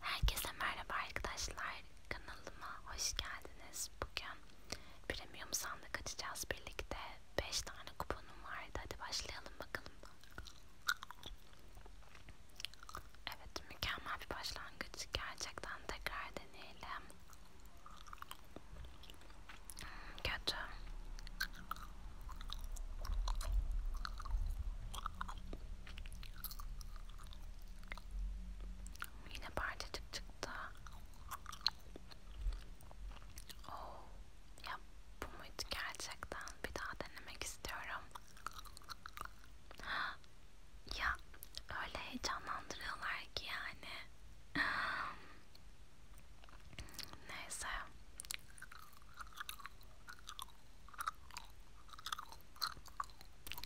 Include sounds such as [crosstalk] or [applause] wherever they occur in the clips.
Herkese merhaba arkadaşlar. Kanalıma hoş geldiniz. Bugün premium sandık açacağız birlikte. 5 tane kuponum vardı. Hadi başlayalım bakalım. Evet, mükemmel bir başlangıç. Gerçekten tekrar deneyelim. Hmm, kötü. Yine parçacık çıktı. Oh, ya bu muydu gerçekten? Bir daha denemek istiyorum. [gasps] Ya öyle heyecanlandırıyorlar ki yani. [gasps] Neyse.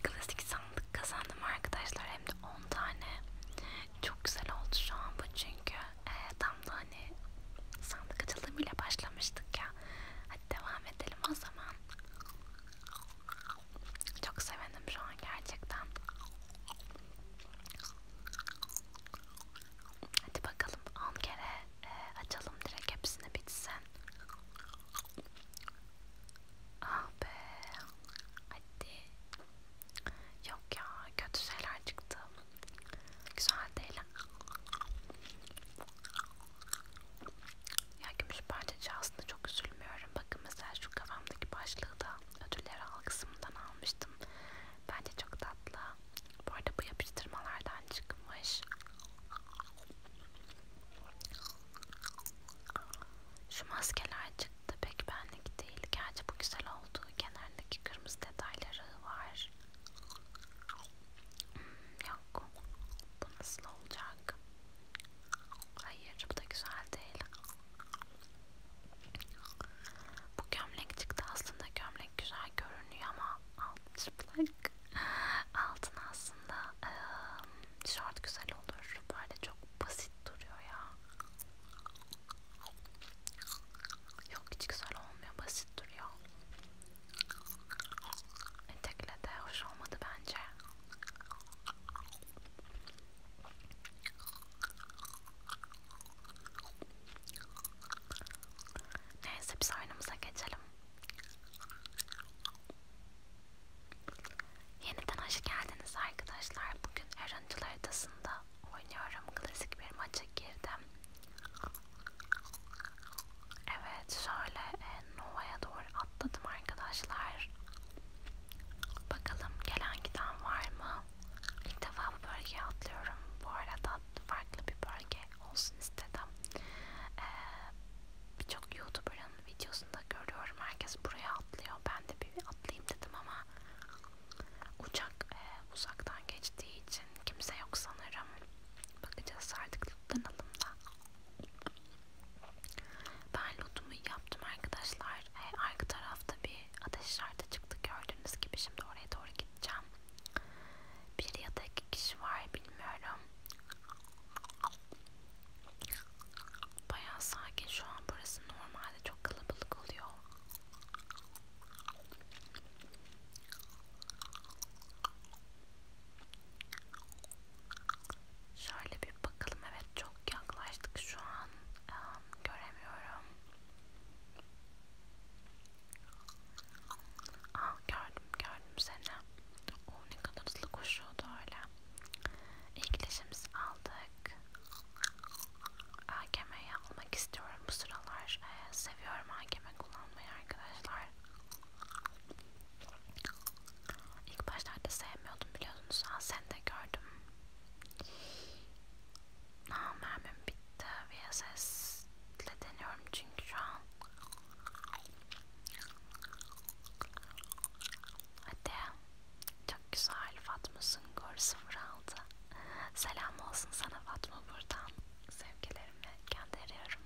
Klasik sandık kazandım arkadaşlar hem de 10 tane. Çok güzel oldu şu an bu çünkü e, tam da hani sandık açılımıyla başlamıştık ya. Hadi devam edelim o zaman. Çok sevindim şu an gerçekten. Hadi bakalım 10 kere e, açalım direkt hepsini bitsin. Ah be. Hadi. Yok ya. Kötü şeyler çıktı. Güzel değil. Ya gümüş parçacı aslında çok üzülmüyorum. Bakın mesela şu kafamdaki başlığı da ödüller al kısmından almıştım. Bence çok tatlı. Bu arada bu yapıştırmalardan çıkmış. Şu maskeler çıktı pek benlik değil. Gerçi bu güzel oldu. Kenardaki kırmızı detayları var. Hmm, yok. Bu nasıl olacak? Hayır bu da güzel değil. Bu gömlek çıktı aslında gömlek güzel görünüyor ama alt çıplak Birazcık altın aslında e, şart güzel olur. Böyle çok basit duruyor ya. Yok hiç güzel olmuyor. Basit duruyor. Etekle de hoş olmadı bence. Neyse biz oyunumuza geçelim. Yeniden hoş geldiniz arkadaşlar. Bugün Eroncul haritasında oynuyorum. Klasik bir maça girdim. Evet şöyle e, Nova'ya doğru atladım arkadaşlar. Bakalım gelen giden var mı? İlk defa bu bölgeye atlıyorum. Bu arada farklı bir bölge olsun istedim. Ee, Birçok youtuber'ın videosunda görüyorum herkes buraya atlıyor. Ben de bir atlayayım dedim ama uçak e, uzaktan geçtiği için kimse yok sanırım. Bakacağız artık lootlanalım da. Ben lootumu yaptım arkadaşlar. Ee, arka tarafta bir ateş işareti çıktı gördüğünüz gibi. Şimdi oraya doğru gideceğim. Bir ya da iki kişi var bilmiyorum. Bayağı sakin şu an burası normalde çok kalabalık oluyor. Şöyle bir bakalım evet çok yaklaştık şu an um, göremiyorum. Ah gördüm gördüm seni. O oh, ne kadar hızlı koşuyordu öyle. İlgileşimizi aldık. AKM'yi almak istiyorum bu sıralar. Ee, seviyorum AKM kullanmayı arkadaşlar. İlk başlarda sevmiyordum biliyorsunuz. Aa, sen de gördüm mermim bitti. VSS ile deniyorum çünkü şu an. Hadi. Çok güzel Fatma Sungur 06. Selam olsun sana Fatma buradan. Sevgilerimle gönderiyorum.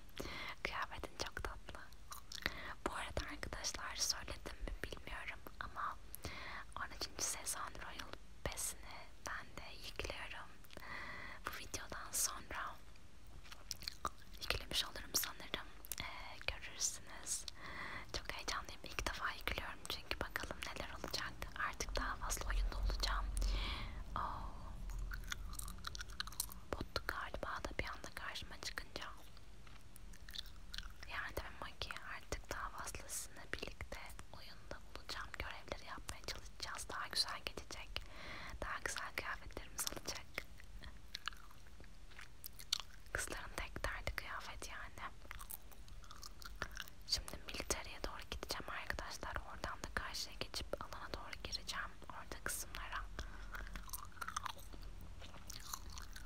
Kıyafetin çok tatlı. Bu arada arkadaşlar söyledim mi bilmiyorum ama 13. sezon Royal besini ben de yıkıyorum. Bu videodan sonra yüklemiş olurum sanırım. Ee, görürsünüz. Çok heyecanlıyım. İlk defa yüklüyorum çünkü bakalım neler olacak. Artık daha fazla oyunda olacağım. Oo. Oh. Bottu galiba da bir anda karşıma çıkınca. Yani demek ki artık daha fazlasıyla birlikte oyunda bulacağım görevleri yapmaya çalışacağız. Daha güzel geçecek. Daha güzel kıyafetlerimiz olacak. Kızların tek derdi kıyafet yani. Şimdi militeriye doğru gideceğim arkadaşlar. Oradan da karşıya geçip alana doğru gireceğim. Orada kısımlara.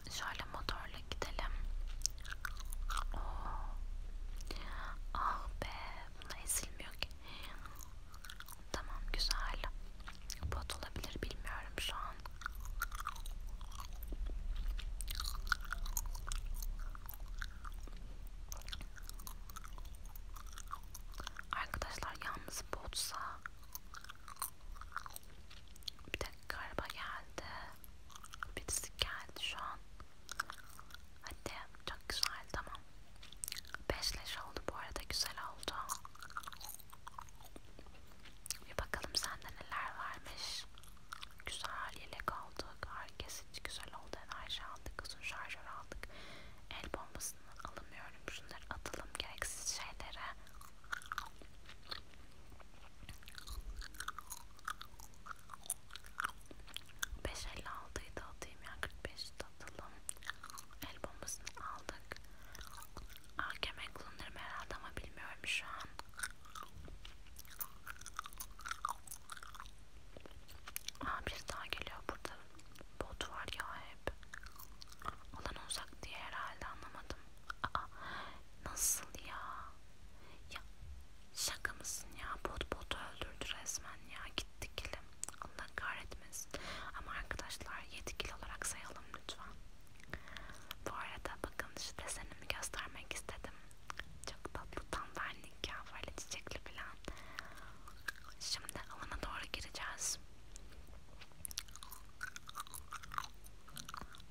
Şöyle motorla gidelim. Oh. Ah be buna ezilmiyor ki. Tamam güzel. Bot olabilir bilmiyorum şu an. Arkadaşlar yalnız botsa bir dakika galiba geldi birisi geldi şu an Hadi çok güzel tamam. Beşleş oldu bu arada güzel oldu. Bir bakalım sende neler varmış. Güzel yelek aldık. Herkes hiç güzel oldu. Enerji aldık. Uzun şarjör aldık. El bombasını alamıyorum. Şunları atalım gereksiz şeylere. 5 50 aldıydı atayım ya 45 atalım. El bombasını aldık. AKM kullanırım herhalde ama bilmiyorum şu an. Aa bir daha geliyor burada. Bot var ya hep. Alan uzak diye herhalde anlamadım. Aa nasıl ya? Ya şaka mısın ya? Bot botu öldürdü resmen ya. Gitti kilim. Allah kahretmesin. Ama arkadaşlar yetkili olarak sayalım lütfen. Bu arada bakın şu desenimi göstermek istedim. Çok tatlı tanverlik ya. Böyle çiçekli falan. Şimdi alana doğru gireceğiz.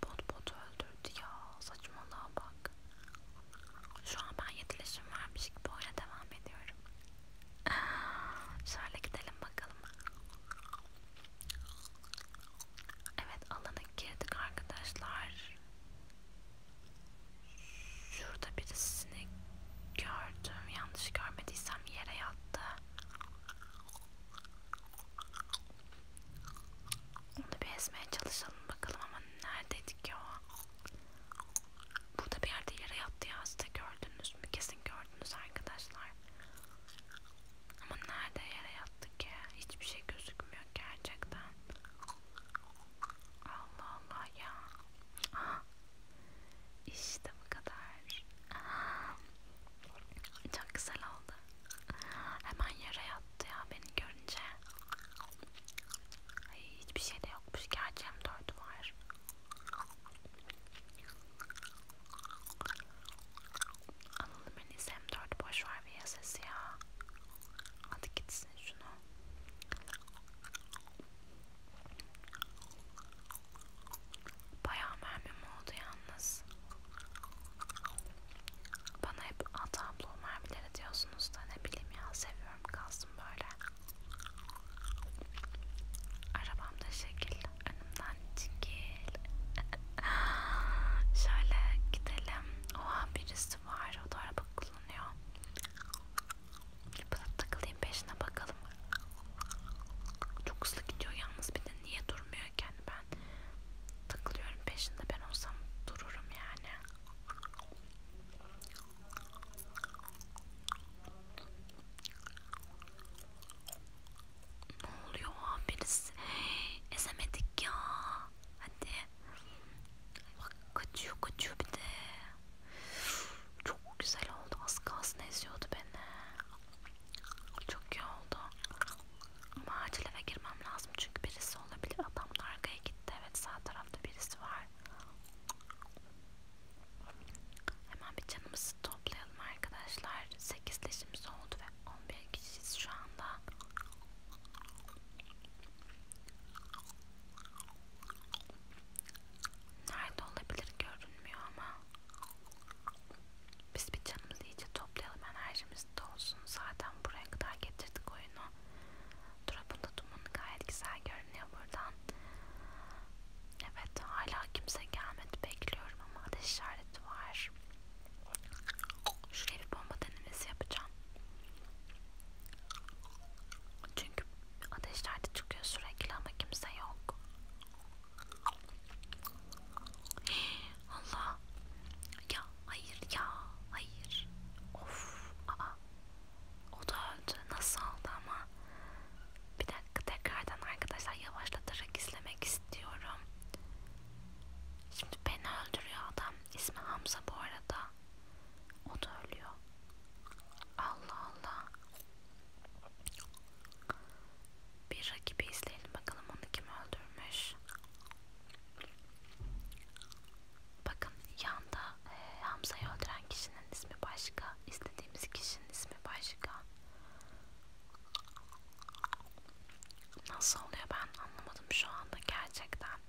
Bot botu öldürdü ya. Saçmalığa bak. Şu an ben yetileşim vermiş gibi oyuna devam ediyorum. [sighs] Şöyle gidelim bakalım. Evet alana girdik arkadaşlar. Şurada birisini gördüm. Yanlış görmediysem yere yattı. Onu bir ezmeye çalışalım bakalım ama neredeydik ya? Burada bir yerde yere yattı ya size gördünüz mü? Kesin gördünüz arkadaşlar. Ama nerede yere yattı ki? Hiçbir şey gözükmüyor gerçekten. Allah Allah ya. Aha. [gasps] İşte bu kadar. Aha. [gasps] Çok güzel oldu. Hemen yere yat attı ya beni görünce. Ay, hiçbir şey de yokmuş. Gerçi M4 var. Analım en iyisi M4 boş var bir sesi ya. Hadi gitsin şunu. Bayağı mermim oldu yalnız. Bana hep at abla mermileri diyorsunuz da ne bileyim ya seviyorum kalsın böyle. Arabam da şekil önümden çekil. [laughs] Şöyle gidelim. Oha birisi var o da araba kullanıyor. Bana takılayım peşine bakalım. Çok hızlı gidiyor yalnız bir de niye durmuyor? yani ben takılıyorum peşinde ben olsam dururum yani. Ne oluyor birisi? Ezemedik ya. Hadi. Bak kaçıyor kaçıyor bir de. Çok güzel oldu. Az kalsın eziyordu beni. Çok iyi oldu. Ama acil eve girmem lazım çünkü birisi olabilir. Adam da arkaya gitti. Evet sağ tarafta birisi var. Hemen bir canımızı toplayalım arkadaşlar. 8 leşimiz oldu ve 11 kişiyiz şu anda. Nerede olabilir görünmüyor ama biz bir canımızı iyice toplayalım enerjimiz de olsun. Zaten buraya kadar getirdik oyunu. Turabında dumanı gayet güzel görünüyor buradan. Evet hala kimse gelmedi bekliyorum ama ateş işareti var. Şuraya bir bomba denemesi yapacağım. Çünkü ateşlerde çıkıyor sürekli ama kimse yok. Allah ya hayır ya hayır of aa o da öldü nasıl oldu ama bir dakika tekrardan arkadaşlar yavaşlatarak izlemek istiyorum şimdi beni öldürüyor adam ismi Hamza bu arada o da ölüyor Allah Allah bir rakibi izleyelim bakalım onu kim öldürmüş. Bakın yanda e, Hamza'yı öldüren kişinin ismi başka, istediğimiz kişinin ismi başka. Nasıl oluyor ben anlamadım şu anda gerçekten.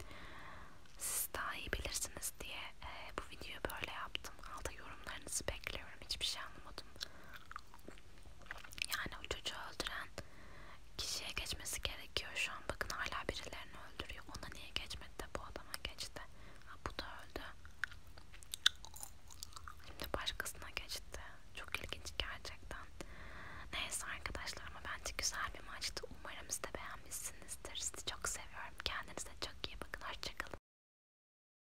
Siz daha iyi bilirsiniz diye e, bu videoyu böyle yaptım. Alta yorumlarınızı bekliyorum. Hiçbir şey anlamadım. Yani o çocuğu öldüren kişiye geçmesi gerekiyor şu an. Bakın hala birilerini öldürüyor. Ona niye geçmedi de bu adama geçti. Ha, bu da öldü. Şimdi başkasına geçti. Çok ilginç gerçekten. Neyse arkadaşlar ama bence güzel bir maçtı. Umarım siz de beğenmişsinizdir. Sizi çok seviyorum. Kendinize çok iyi bakın. Hoşçakalın.